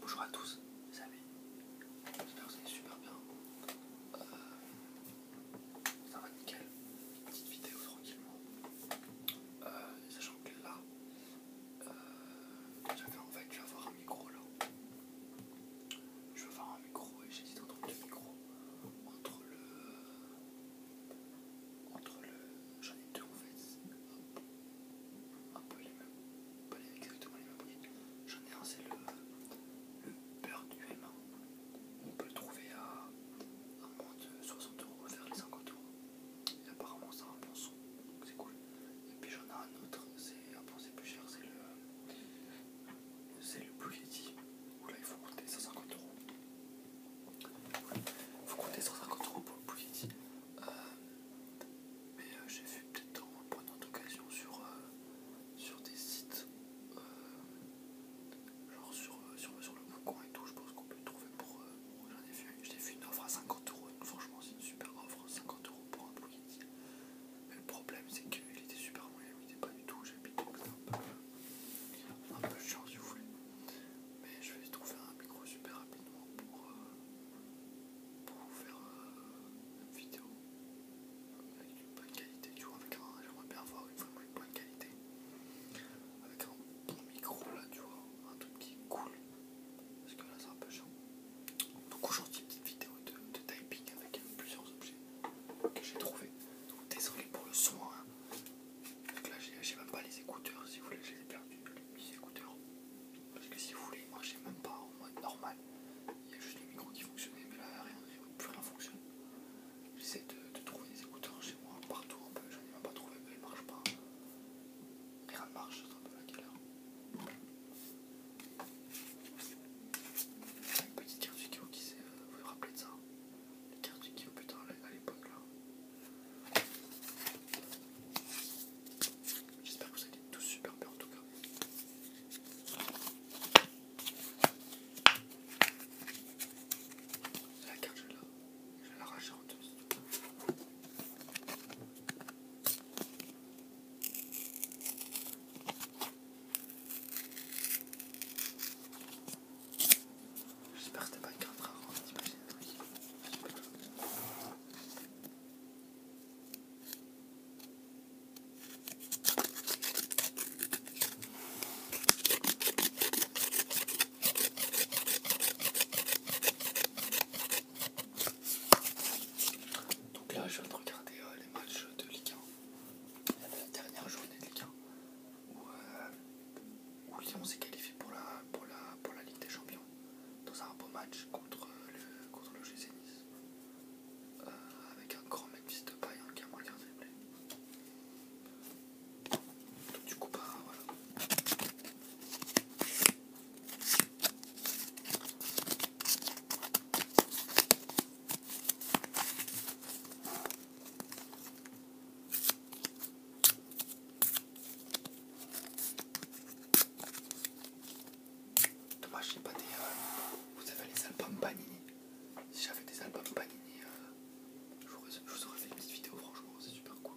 Bonjour à tous Vous amis, j'espère que vous allez super bien. Euh, ça va nickel, petite vidéo tranquillement. Euh, sachant que là, euh, en fait, je vais avoir un micro là. Je vais avoir un micro et j'hésite entre deux micros. Entre le. Entre le. J'en ai deux en fait un peu les mêmes, pas exactement les mêmes J'en ai un, c'est le, beurre du M1. On peut le trouver à, moins de 60 euros vers les 50 euros. Et apparemment, ça a un bon son, donc c'est cool. Et puis j'en ai un autre, c'est un ah peu plus cher, c'est le, c'est le Blue Yeti, il faut compter 150 euros. Il faut compter 150 euros pour le Blue euh, mais euh, j'ai fait peut-être en prenant d'occasion sur, euh, sur des sites, genre sur, le bouquin et tout, je pense qu'on peut le trouver pour... J'en ai j'ai une offre à 50 euros, franchement c'est une super offre, 50 euros pour un prix Mais le problème c'est qu'il était super moyen, il était pas du tout, j'ai donc c'est un peu, un peu chiant si vous voulez mais je vais trouver un micro super rapidement pour, euh, vous faire euh, une vidéo avec une bonne qualité, tu vois, avec un, j'aimerais bien avoir une une bonne qualité, avec un bon micro là, tu vois, un truc qui coule, parce que là c'est un peu chiant. Donc aujourd'hui, petite vidéo de, de typing avec plusieurs objets que j'ai trouvé. Donc désolé pour le son. Hein. Donc là, j'ai même pas les écouteurs, si vous voulez, je les ai les écouteurs. Parce que si vous voulez, ils marchaient même pas en mode normal. Il y a juste les micros qui fonctionnait, mais là, rien, plus rien fonctionne. J'essaie de, trouver des écouteurs chez moi, partout un peu, j'en ai même pas trouvé, mais ils marchent pas. Rien ne marche, c'est un peu la galère. Une petite carte vidéo qui sait, euh, Vous vous rappelez de ça les cartes du Yu, putain, à l'époque là. J'espère que vous été tous super bien en tout cas. La carte, je l'ai la, je en deux. J'espère que t'es pas une carte rare, donc là je viens de regarder euh, les matchs de Ligue 1. la dernière journée de Ligue 1 où, Lyon euh, s'est qualifié pour la, Ligue des Champions dans un beau match contre le, contre euh, avec un grand mec de paille hein, qui a marqué un triplé. Donc, du coup, bah, voilà. Dommage, j'ai pas des. Euh, vous avez les albums Panini. Si j'avais des albums Panini, euh, je vous aurais fait une petite vidéo, franchement, c'est super cool.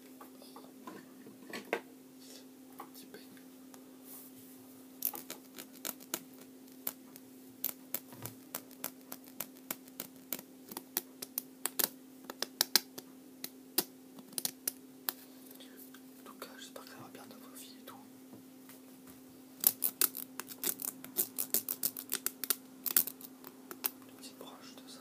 En tout cas, j'espère que ça va bien dans vos filles et tout. Une petite broche de ça.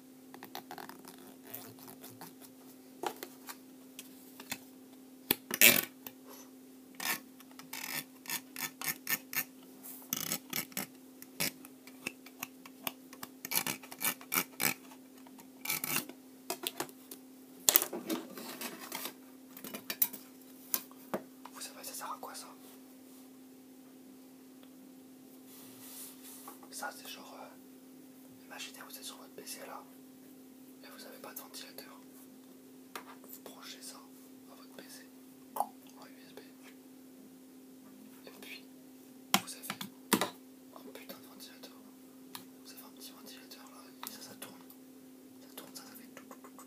Vous savez, ça sert à quoi ça Ça, c'est genre. Euh, Imaginez vous êtes sur votre PC là et vous n'avez pas de ventilateur. Vous branchez ça à votre PC en USB. Et puis vous avez un putain de ventilateur. Vous avez un petit ventilateur là ça tourne. Ça tourne, ça, fait tout. ça.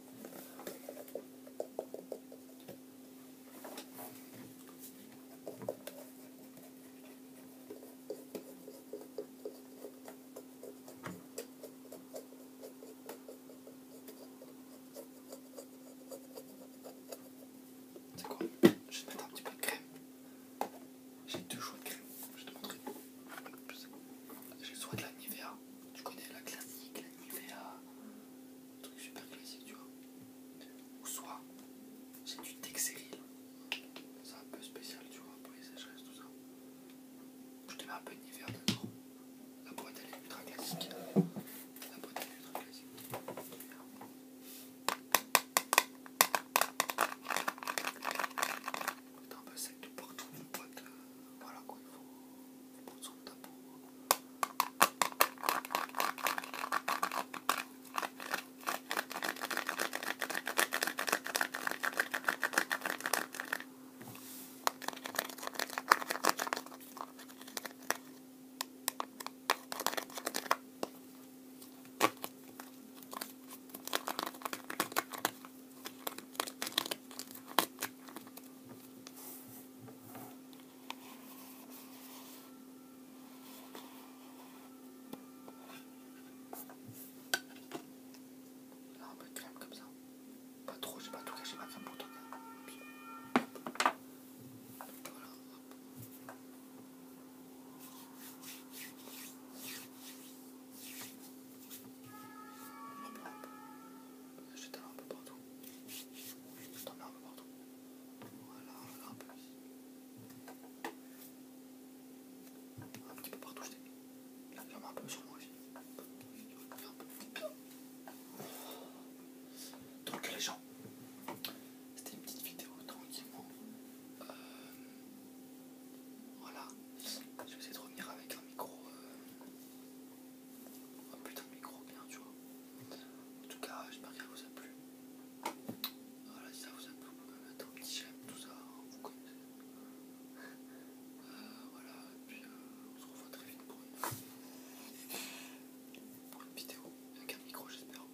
C'est quoi Je vais te mettre un petit peu de crème. J'ai deux choix de crème. Je vais te montrer. J'ai soit de la Nivea. Tu connais la classique, la Nivea. Un truc super classique, tu vois. Ou soit, j'ai du Texeril. C'est un peu spécial, tu vois, pour les sécheresses, tout ça. Je te mets un peu de Nivea d'accord, La boîte, elle est ultra classique. La boîte, elle est ultra classique. Bah, c'est un peu sec de partout, mon pote, voilà quoi, il faut prendre son tabou. Ah, un peu crème comme ça. Pas trop, j'ai pas tout caché crème pour Voilà. Je t'en un peu partout. Je t'en mets un peu partout. Voilà, un peu ici. Un petit peu partout, je t'ai mis. Là, un peu sur moi aussi. Donc les gens, c'était une petite vidéo tranquillement. Euh, voilà. Je vais essayer de revenir avec un micro. Euh, un putain de micro bien, tu vois. En tout cas, j'espère qu'elle vous a plu. Voilà, si ça vous a plu, vous pouvez mettre un petit j'aime, tout ça, hein, vous connaissez. Euh, voilà, et puis euh, on se revoit très vite pour pour une vidéo avec un micro, j'espère.